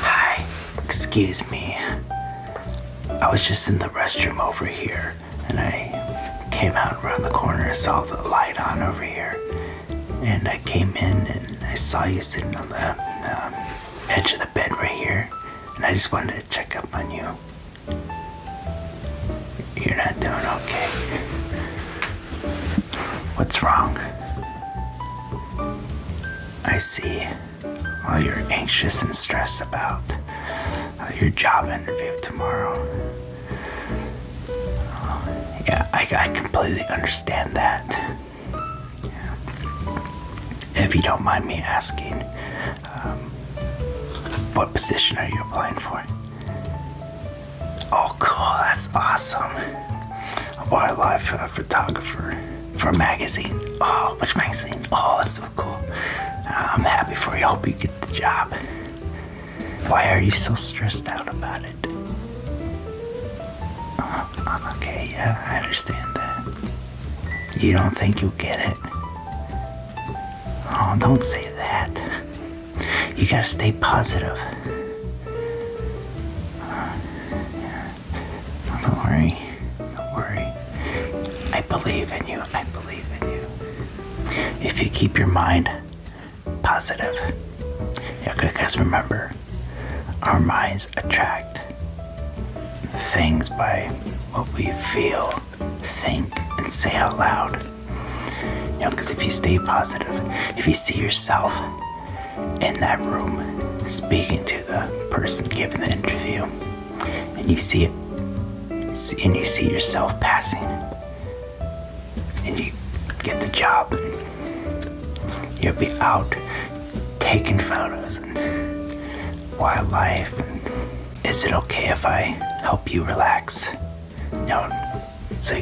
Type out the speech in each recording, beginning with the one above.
Hi, excuse me. I was just in the restroom over here and I came out around the corner, and saw the light on over here, and I came in and I saw you sitting on the um, edge of the bed right here, and I just wanted to check up on you. You're not doing okay. What's wrong? I see. All you're anxious and stressed about your job interview tomorrow. yeah, I, completely understand that. If you don't mind me asking, um, what position are you applying for? Oh, cool. That's awesome. A wildlife uh, photographer for a magazine. Oh, which magazine? Oh, that's so cool. I'm happy for you. hope you get the job. Why are you so stressed out about it? I'm uh, okay, yeah, I understand that. You don't think you'll get it? Oh, don't say that. You gotta stay positive. Don't worry. Don't worry. I believe in you. I believe in you. If you keep your mind positive, because remember, our minds attract things by what we feel, think, and say out loud. You know, because if you stay positive, if you see yourself in that room speaking to the person giving the interview and you see it and you see yourself passing and you get the job you'll be out taking photos and wildlife is it okay if i help you relax no so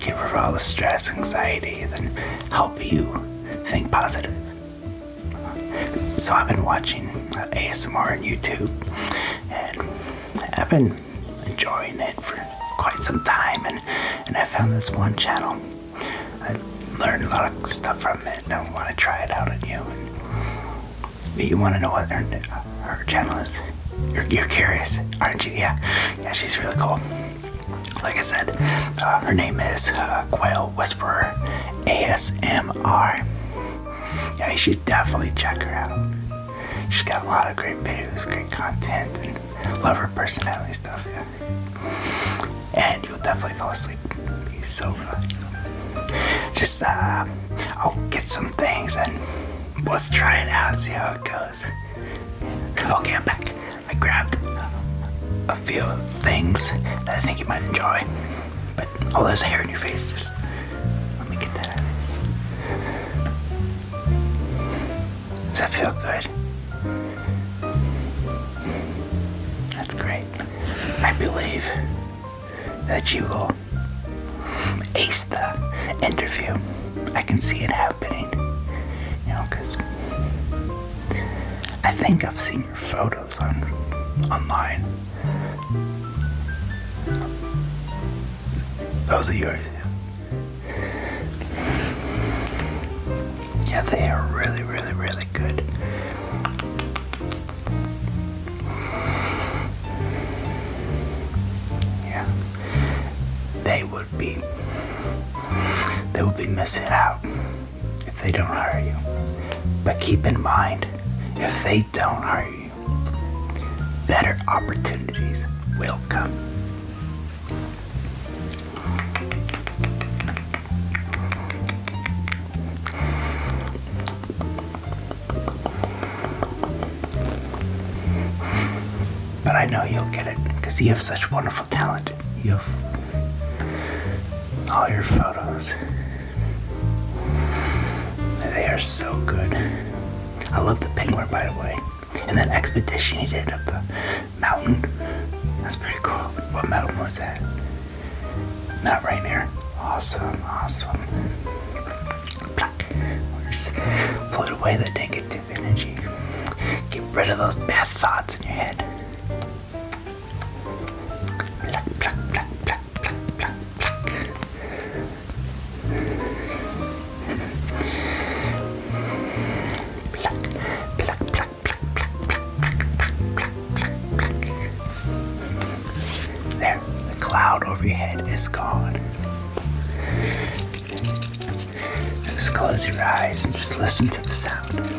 get rid of all the stress, anxiety, and help you think positive. So I've been watching ASMR on YouTube, and I've been enjoying it for quite some time, and, and I found this one channel. I learned a lot of stuff from it, and I want to try it out on you. And you want to know what her, channel is? You're, you're curious, aren't you? Yeah, yeah, she's really cool like I said, uh, her name is uh, Quail Whisperer ASMR. Yeah, you should definitely check her out. She's got a lot of great videos, great content, and love her personality stuff. Yeah, and you'll definitely fall asleep. you so relaxed. Just uh, I'll get some things and let's try it out and see how it goes. Okay, I'm back. I grabbed a few things that I think you might enjoy. But all oh, hair in your face, just let me get that Does that feel good? That's great. I believe that you will ace the interview. I can see it happening. You know, because I think I've seen your photos on online. Those are yours. Yeah, they are really, really, really good. Yeah. They be they will be missing out if they don't hire you. But keep in mind, if they don't hire you, better opportunities will come. But I know you'll get it because you have such wonderful talent. You have all your photos. They are so good. I love the penguin, by the way. And that expedition he did up the mountain. That's pretty cool. What mountain was that? Mount Rainier. Awesome, awesome. Pluck. We'll away the negative energy. Get rid of those bad thoughts in your head. There, the cloud overhead is gone. Just close your eyes and just listen to the sound.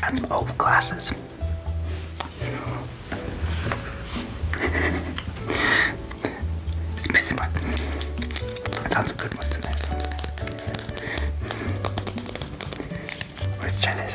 That's both old glasses. it's missing one. I found some good ones in there. Let's try this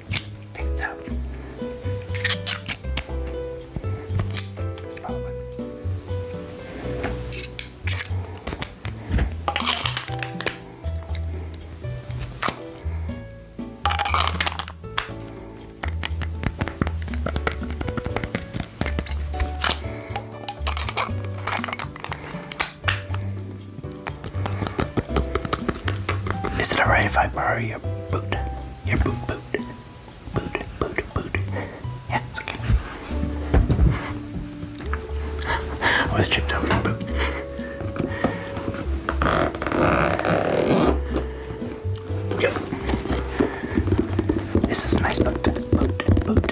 Take the top. Smell it. Is it alright if I borrow your boot? Your boot, boot. Boot, boot, boot. Yeah, it's okay. I was over your boot. Yep. This is a nice boot. Boot, boot.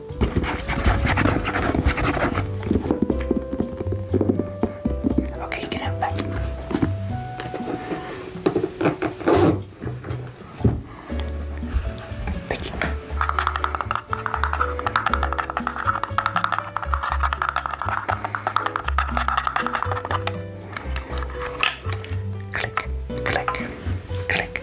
Okay, you can have it back. Thank you. Click, click, click.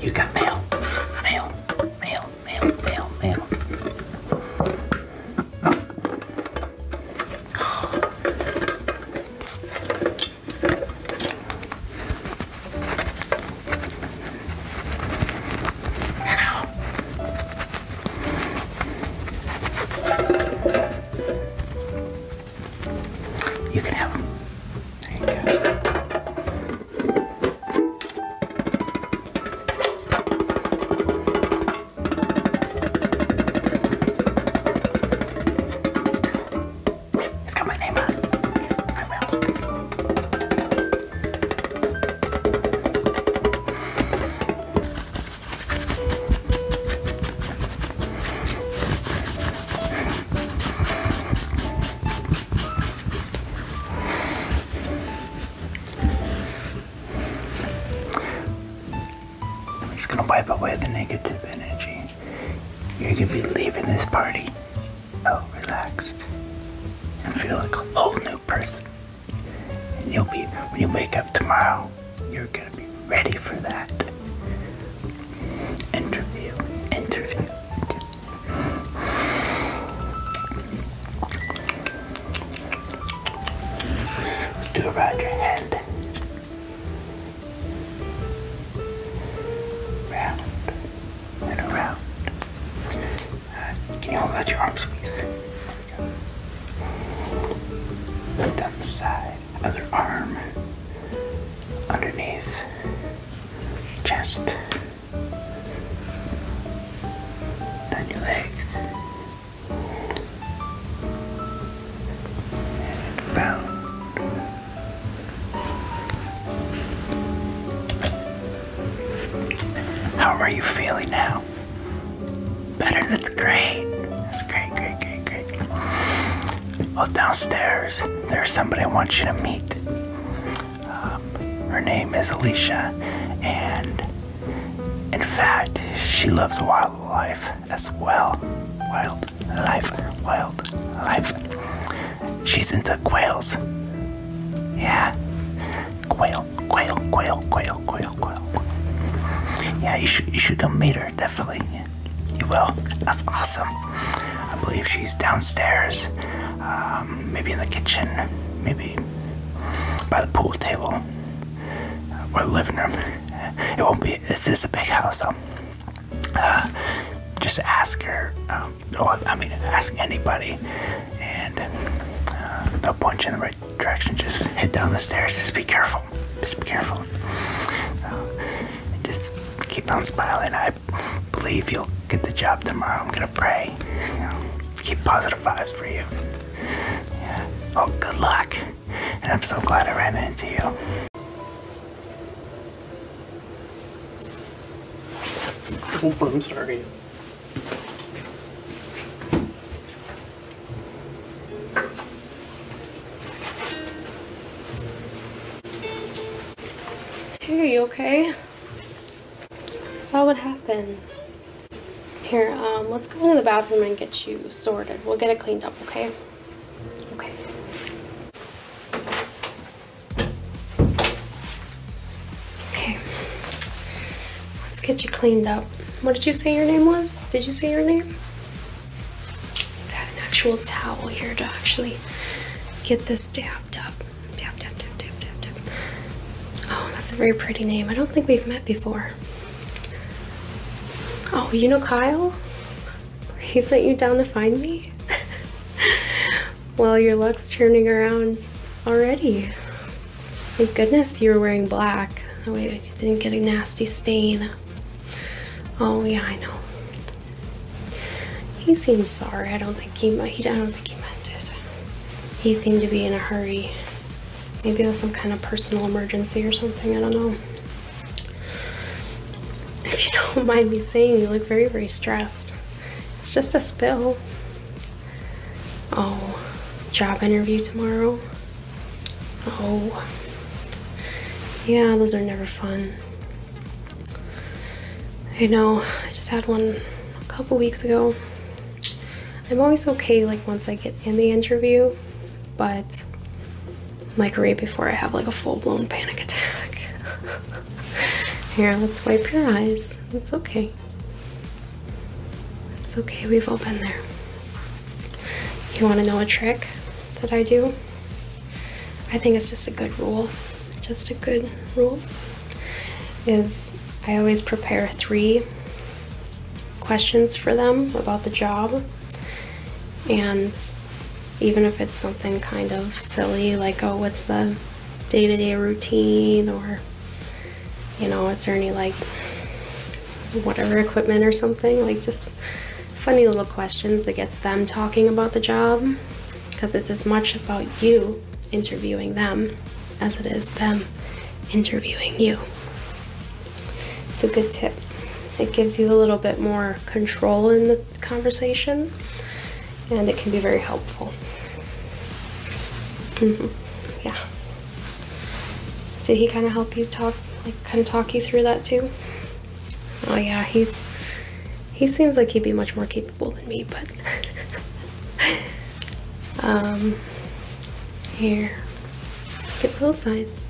You got mail, mail, mail, mail, mail, mail. Hello. You can have them. There you go. It's got my name on it. I will. I'm just gonna wipe away the negative energy. You're gonna be leaving this party so oh, relaxed and feel like a whole new person. And you'll be, when you wake up tomorrow, you're gonna be ready for that interview, interview. Let's do it around your head. Round and around. Uh, can you hold out your arms, please? Down the side other arm underneath chest then your legs and how are you feeling now Better, that's great. That's great, great, great, great. Well, downstairs, there's somebody I want you to meet. Um, her name is Alicia, and in fact, she loves wildlife as well. Wildlife, wildlife. She's into quails. Yeah. Quail, quail, quail, quail, quail. Yeah, you should, you should come meet her, definitely. you will. That's awesome. I believe she's downstairs, um, maybe in the kitchen, maybe by the pool table uh, or living room. It won't be, this is a big house, so uh, just ask her, um, I mean, ask anybody, and uh, they'll point in the right direction. Just head down the stairs. Just be careful. Just be careful. Uh, just keep on smiling. I believe you'll get the job tomorrow. I'm gonna pray. keep positive vibes for you. Oh, good luck. And I'm so glad I ran into you. Oh, I'm sorry. Hey, you okay? saw what happened. Here, um, let's go into the bathroom and get you sorted. We'll get it cleaned up, okay? Okay. Okay. Let's get you cleaned up. What did you say your name was? Did you say your name? Got an actual towel here to actually get this dabbed up. Dab, dab, dab, dab, dab, dab. Oh, that's a very pretty name. I don't think we've met before. Oh, you know Kyle? He sent you down to find me? well, your luck's turning around already. Thank goodness you were wearing black. That oh, didn't get a nasty stain. Oh yeah, I know. He seemed sorry. I don't think he. he I don't think he meant it. He seemed to be in a hurry. Maybe it was some kind of personal emergency or something. I don't know. If you don't mind me saying, you look very, very stressed. It's just a spill. Oh, job interview tomorrow. Oh, yeah, those are never fun. I know, I just had one a couple weeks ago. I'm always okay, like, once I get in the interview, but like right before I have like a full blown panic attack. Here, let's wipe your eyes. It's okay. It's okay, we've all been there. You want to know a trick that I do? I think it's just a good rule. Just a good rule is I always prepare three questions for them about the job. And even if it's something kind of silly, like, oh, what's the day to day routine or you know, is there any like whatever equipment or something? Like just funny little questions that gets them talking about the job because it's as much about you interviewing them as it is them interviewing you. It's a good tip. It gives you a little bit more control in the conversation and it can be very helpful. Mm-hmm. Yeah. Did he kind of help you talk, like kind of talk you through that too? Oh yeah, he's, he seems like he'd be much more capable than me, but. um, here, let's get little size.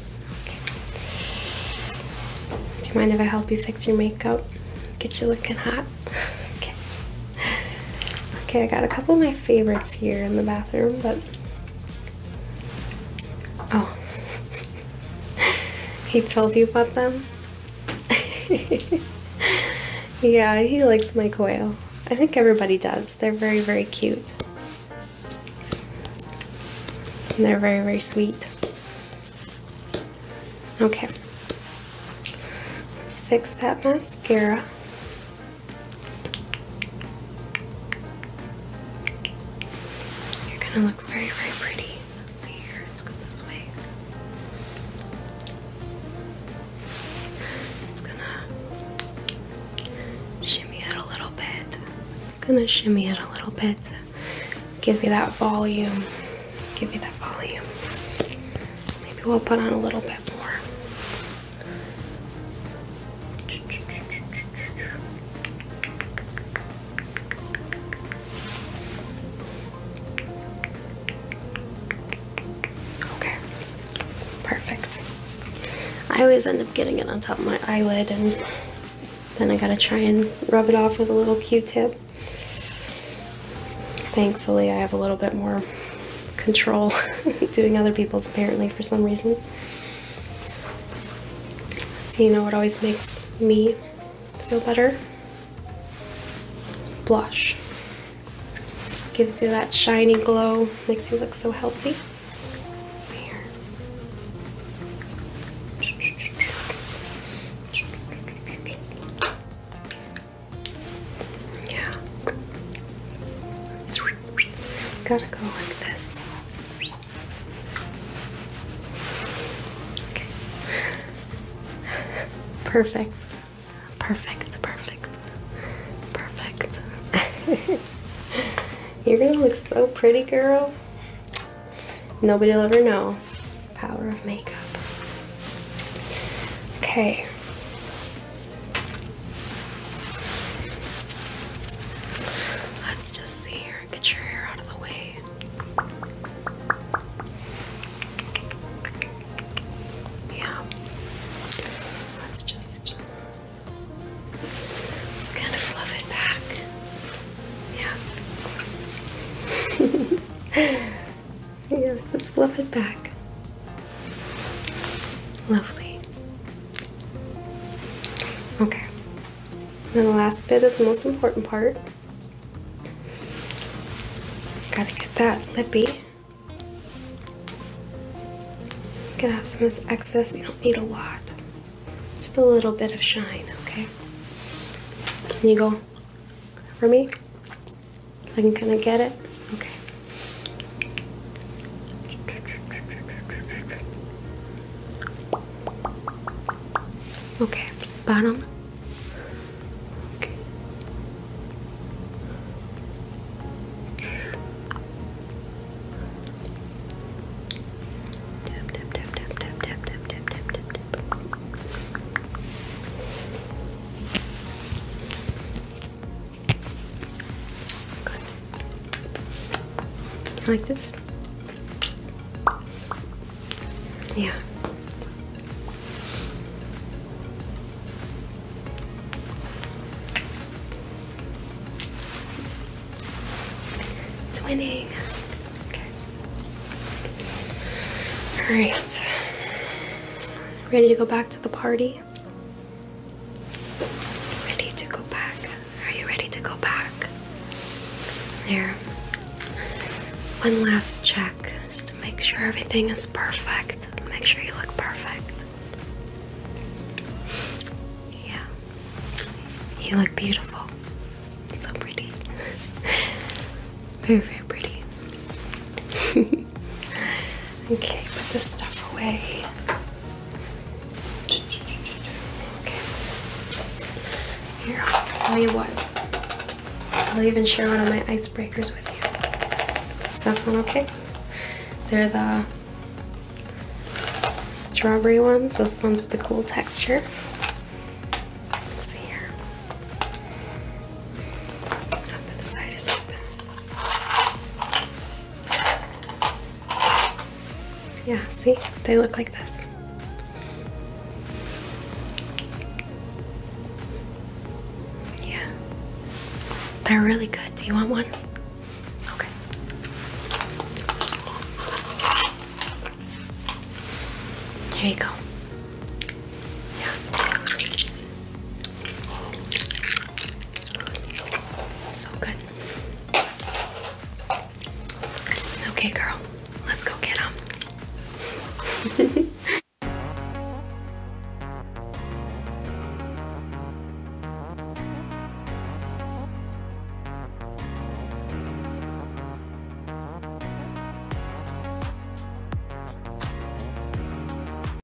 Do you mind if I help you fix your makeup? Get you looking hot? Okay, I got a couple of my favorites here in the bathroom, but Oh. he told you about them? yeah, he likes my quail. I think everybody does. They're very, very cute. they're very, very sweet. Okay. Let's fix that mascara. You're gonna look very, very pretty. see here, let's this way. It's gonna shimmy it a little bit. It's gonna shimmy it a little bit. Give you that volume. Give you that volume. Maybe we'll put on a little bit more. Okay, perfect. I always end up getting it on top of my eyelid, and then I gotta try and rub it off with a little q tip. Thankfully, I have a little bit more control doing other people's apparently for some reason. So you know it always makes me feel better? Blush. just gives you that shiny glow, makes you look so healthy. see here. Yeah. Gotta go like this. Okay. Perfect. Perfect. Perfect. Perfect. You're gonna look so pretty, girl. Nobody'll ever know. Power of makeup. Okay. Let's just see here. Get your hair out of the way. Yeah. Let's just kind of fluff it back. Yeah. yeah, let's fluff it back. Lovely. Okay. And the last bit is the most important part. Gotta get that lippy. Gonna have some of this excess. You don't need a lot. Just a little bit of shine, okay? Can you go for me? I can kind of get it. Okay. Okay, bottom like this? Yeah. It's winning. Okay. All right. Ready to go back to the party? Ready to go back? Are you ready to go back? Here. One last check just to make sure everything is perfect. Make sure you look perfect. Yeah. You look beautiful. So pretty. Very, very pretty. okay, put this stuff away. Okay. Here, I'll tell you what. I'll even share one of my icebreakers with you. Does that sound okay? They're the strawberry ones, those ones with the cool texture. see here. Yeah, see, they look like this. Yeah, they're really good. Do you want one? Okay. Here you go. Yeah. So good. Okay, girl, let's go get them.